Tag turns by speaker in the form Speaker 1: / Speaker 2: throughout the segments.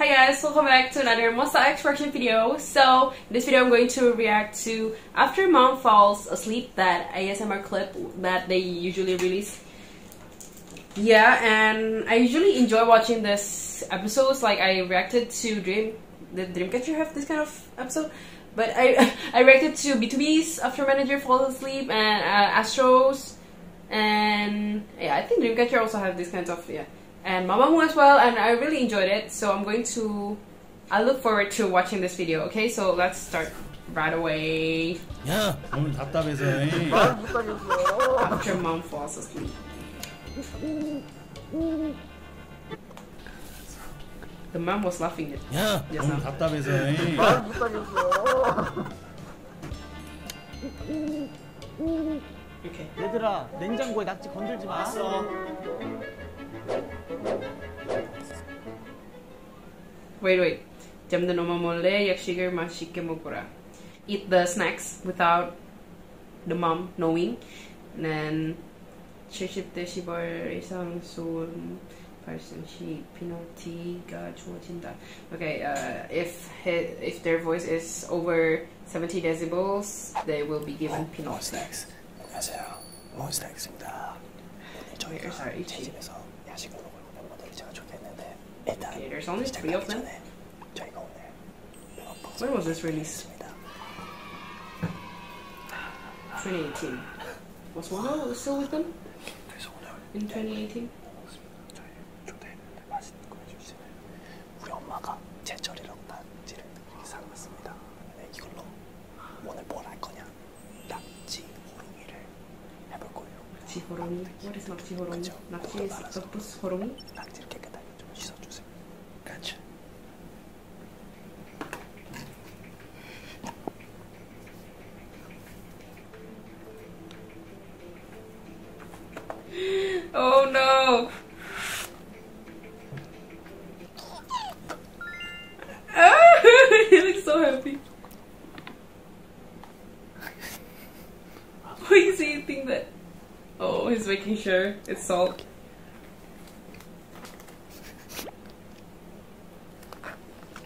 Speaker 1: Hi guys, welcome back to another Mosaic reaction video. So, in this video I'm going to react to After Mom Falls Asleep, that ASMR clip that they usually release. Yeah, and I usually enjoy watching this episodes, like I reacted to Dream, the Dreamcatcher have this kind of episode. But I I reacted to b After Manager Falls Asleep and uh, Astro's and yeah, I think Dreamcatcher also have this kind of yeah. And Mamamoo as well, and I really enjoyed it. So I'm going to I look forward to watching this video. Okay, so let's start right away. Yeah, After mom falls asleep. The mom was laughing at. Yeah, just now. 답답해서. 이렇게 얘들아 냉장고에 낙지 건들지 마 알았어 Wait wait 잠든 엄마 몰래 약식을 맛있게 먹어라 Eat the snacks without the mom knowing 난 70대 10월 이상 소음 발생 시 피널티가 주어진다 Okay, uh, if his, if their voice is over 70 decibels, they will be given pinot snacks. 원스택입니다. Here's our ET. 야식으로 먹는 것들이 제가 좋겠는데 일단 okay, there's only three of them. 저희가 오늘 When was this released? 2018. Was Wano still with them? In 2018? 정말 네, 맛있는 걸 주시는 우리 엄마가 제철이라고 단지를 사놨습니다. 네, 이걸로 오늘 뭘 할 거냐? 낙지 호롱이를 해볼 거예요. 낙지 호롱이, 머리서 낙지 호롱이, 낙지에 덮스 호롱이. 낙지를 깨끗하게 좀 씻어주세요. 그렇죠. Oh no! Oh, he looks so happy. Why is he eating that? Oh, he's making sure it's salt.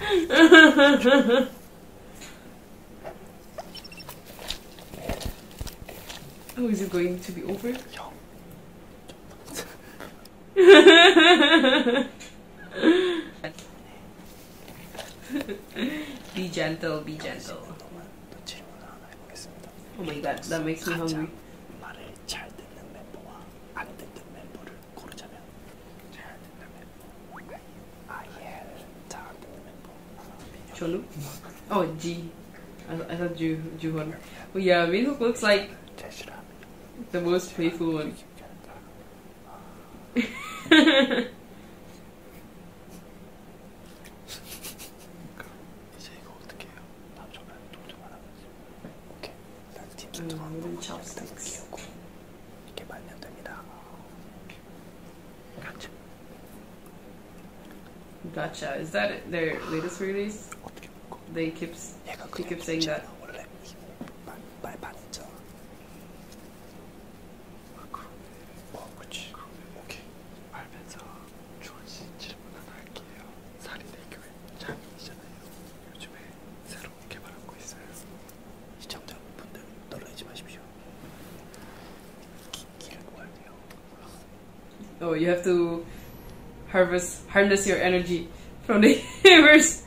Speaker 1: oh, is it going to be over? be gentle, be gentle. Oh my god, that makes me hungry. 잘 듣는 멤버와 안 듣는 멤버를 고르자면 잘 듣는 멤버 아예 잘안 듣는 멤버 Cholu? Oh, G. I, I thought Ju Juhon. yeah, Minhook looks like the most playful one. 이제 이거 어떻게 해요? 다음 전화에 Gotcha. Is that their latest release? They keep, they keep saying that. 주원씨 질문 하나 할게요. 사리대교회 장인이잖아요. 요즘에 새로 개발하고 있어요. 시청자분들 떨어지지 마십시오. 기라고 할게요. Oh, you have to harvest, harness your energy from the universe.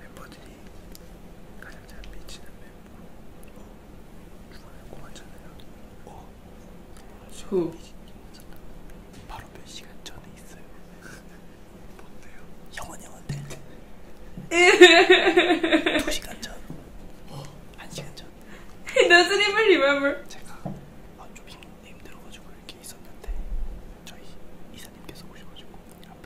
Speaker 1: 멤버들이 가장 잘 미치는 멤버로 어, 누가를 꼽았잖아요. 어, 후. 어, 바로 몇 시간 전에 있어요. 뭔데요? 형은 형한테. 2시간 전. 어, 1시간 전. He doesn't even remember. 제가 아, 좀 힘들어가지고 이렇게 있었는데 저희 이사님께서 오셔가지고 앞에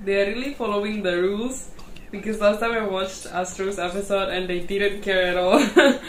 Speaker 1: They're really following the rules because last time I watched Astro's episode and they didn't care at all.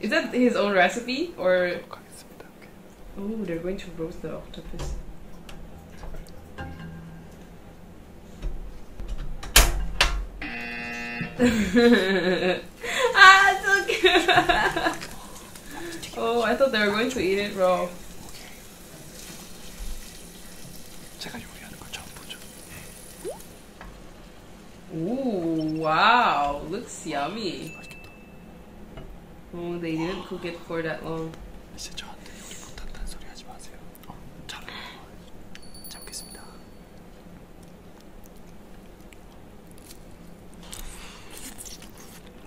Speaker 1: Is that his own recipe or? Oh, they're going to roast the octopus. ah, so cute! oh, I thought they were going to eat it raw. 제가 요리하는 걸 처음 보죠. Ooh, wow, looks yummy. 맛있겠다. Oh, they didn't cook it for that long. 진짜 저한테 요리 못한다는 소리 하지 마세요. 어, 잘하는 거. 잘 먹겠습니다.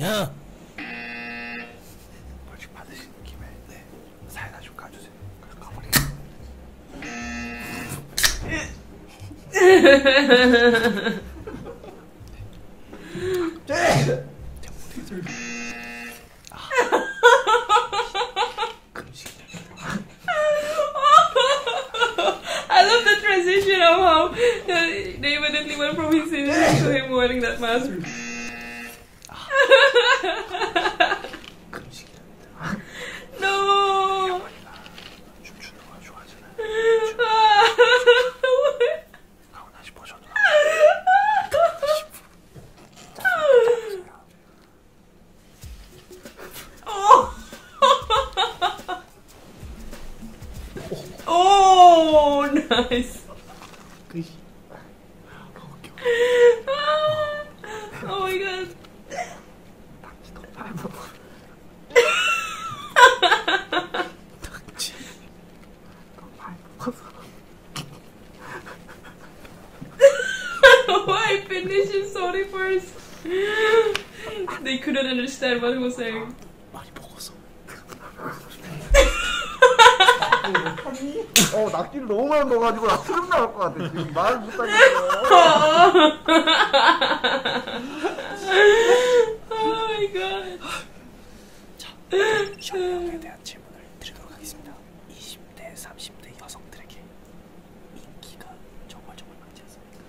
Speaker 1: 야! 벌칙 받으시는 김에 네 사이다 좀 가주세요. 그래서 가버리겠습니다. I love the transition of how they evidently went from his series to him wearing that mask. no! Oh. Oh, nice. Ah, oh my god. Oh, they couldn't understand what he was saying. 많이 먹었어. 어, 낙지를 너무 많이 먹어가지고 나 트름 나올 것 같아. 지금 말 못하겠어. 자, 쇼핑에 대한 질문을 드리도록 하겠습니다. 20대, 30대 여성들에게 인기가 정말 정말 많지 않습니까?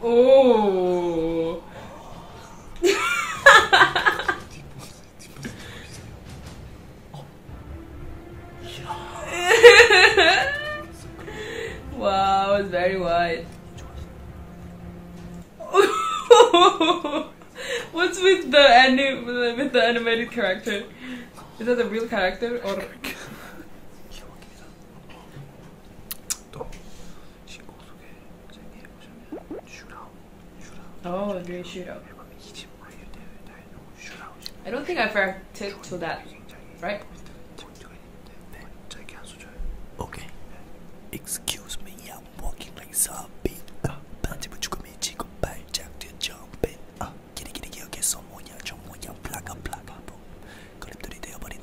Speaker 1: Oh. wow, it's very wide. What's with the anim with the animated character? Is that the real character or? Oh, a great shootout. I don't think I've ever tipped to that, right? Okay. Excuse me, I'm walking like zombie. Uh, 반지 붙이고 미치고 발작대 jumping. 아, 기리기리 기억에 소모냐, 조모냐, 플라가 플라가 뭐. 그림들이 되어버린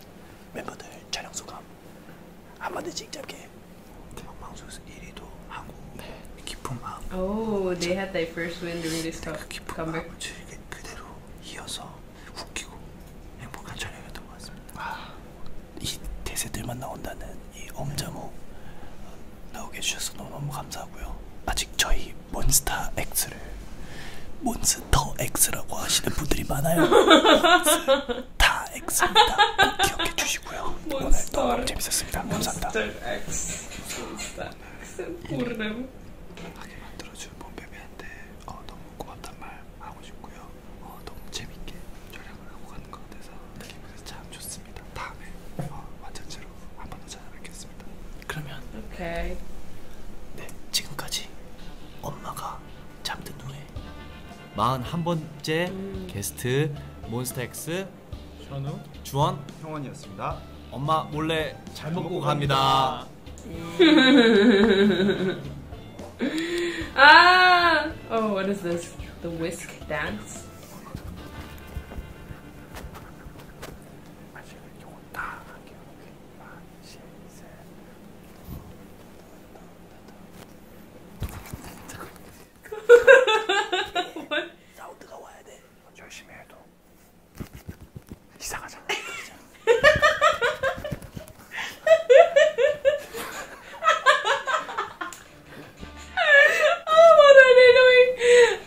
Speaker 1: 멤버들 촬영 소감 한마디씩 짧게 방송에서 1위도 하고 네. 깊은 마음 Oh, they had their first win during this cup. 깊은 comeback. 마음을 즐기, 그대로 이어서 웃기고 행복한 촬영이었던 것 같습니다 아, 이 대세들만 나온다는 이 엄자모 나오게 해주셔서 너무너무 감사하고요 아직 저희 여기 몬스타 X를 몬스터 X라고 하시는 분들이 많아요. 다 X입니다. 꼭 기억해 주시고요. 오늘 너무 재밌었습니다. 감사합니다. X. 몬스타 X. 모르는. 하게 만들어준 몸베베한테 어, 너무 고맙단 말 하고 싶고요. 어, 너무 재밌게 촬영을 하고 가는 것 같아서 느낌이 참 좋습니다. 다음에 어, 완전체로 한 번 더 찾아뵙겠습니다. 알겠습니다. 그러면 오케이. 네, 지금까지 엄마가 잠든 후에 41번째 음. 게스트 몬스타엑스 현우 주원 형원이었습니다. 엄마 몰래 잘 먹고 갑니다. ah! Oh, what is this? The whisk dance? 뭘? 싸우 뜨거워야 돼. 열심히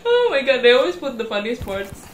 Speaker 1: Oh my god, they always put the funniest parts.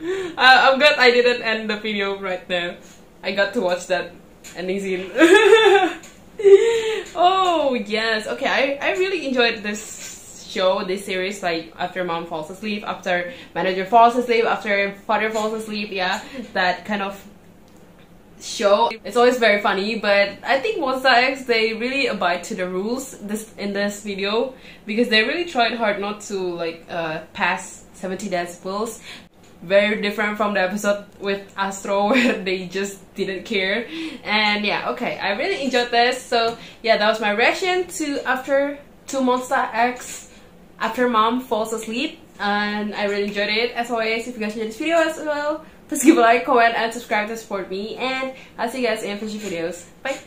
Speaker 1: I, am glad I didn't end the video right there. I got to watch that ending scene. oh yes, okay. I, I really enjoyed this show, this series. Like after mom falls asleep, after manager falls asleep, after father falls asleep. Yeah, that kind of show. It's always very funny, but I think Monster X they really abide to the rules this in this video because they really tried hard not to like uh, pass 70 decibels very different from the episode with Astro where they just didn't care. And yeah, okay, I really enjoyed this. So yeah, that was my reaction to after Two Monster X after mom falls asleep. And I really enjoyed it. As always, if you guys enjoyed this video as well, please give a like, comment, and subscribe to support me. And I'll see you guys in future videos. Bye!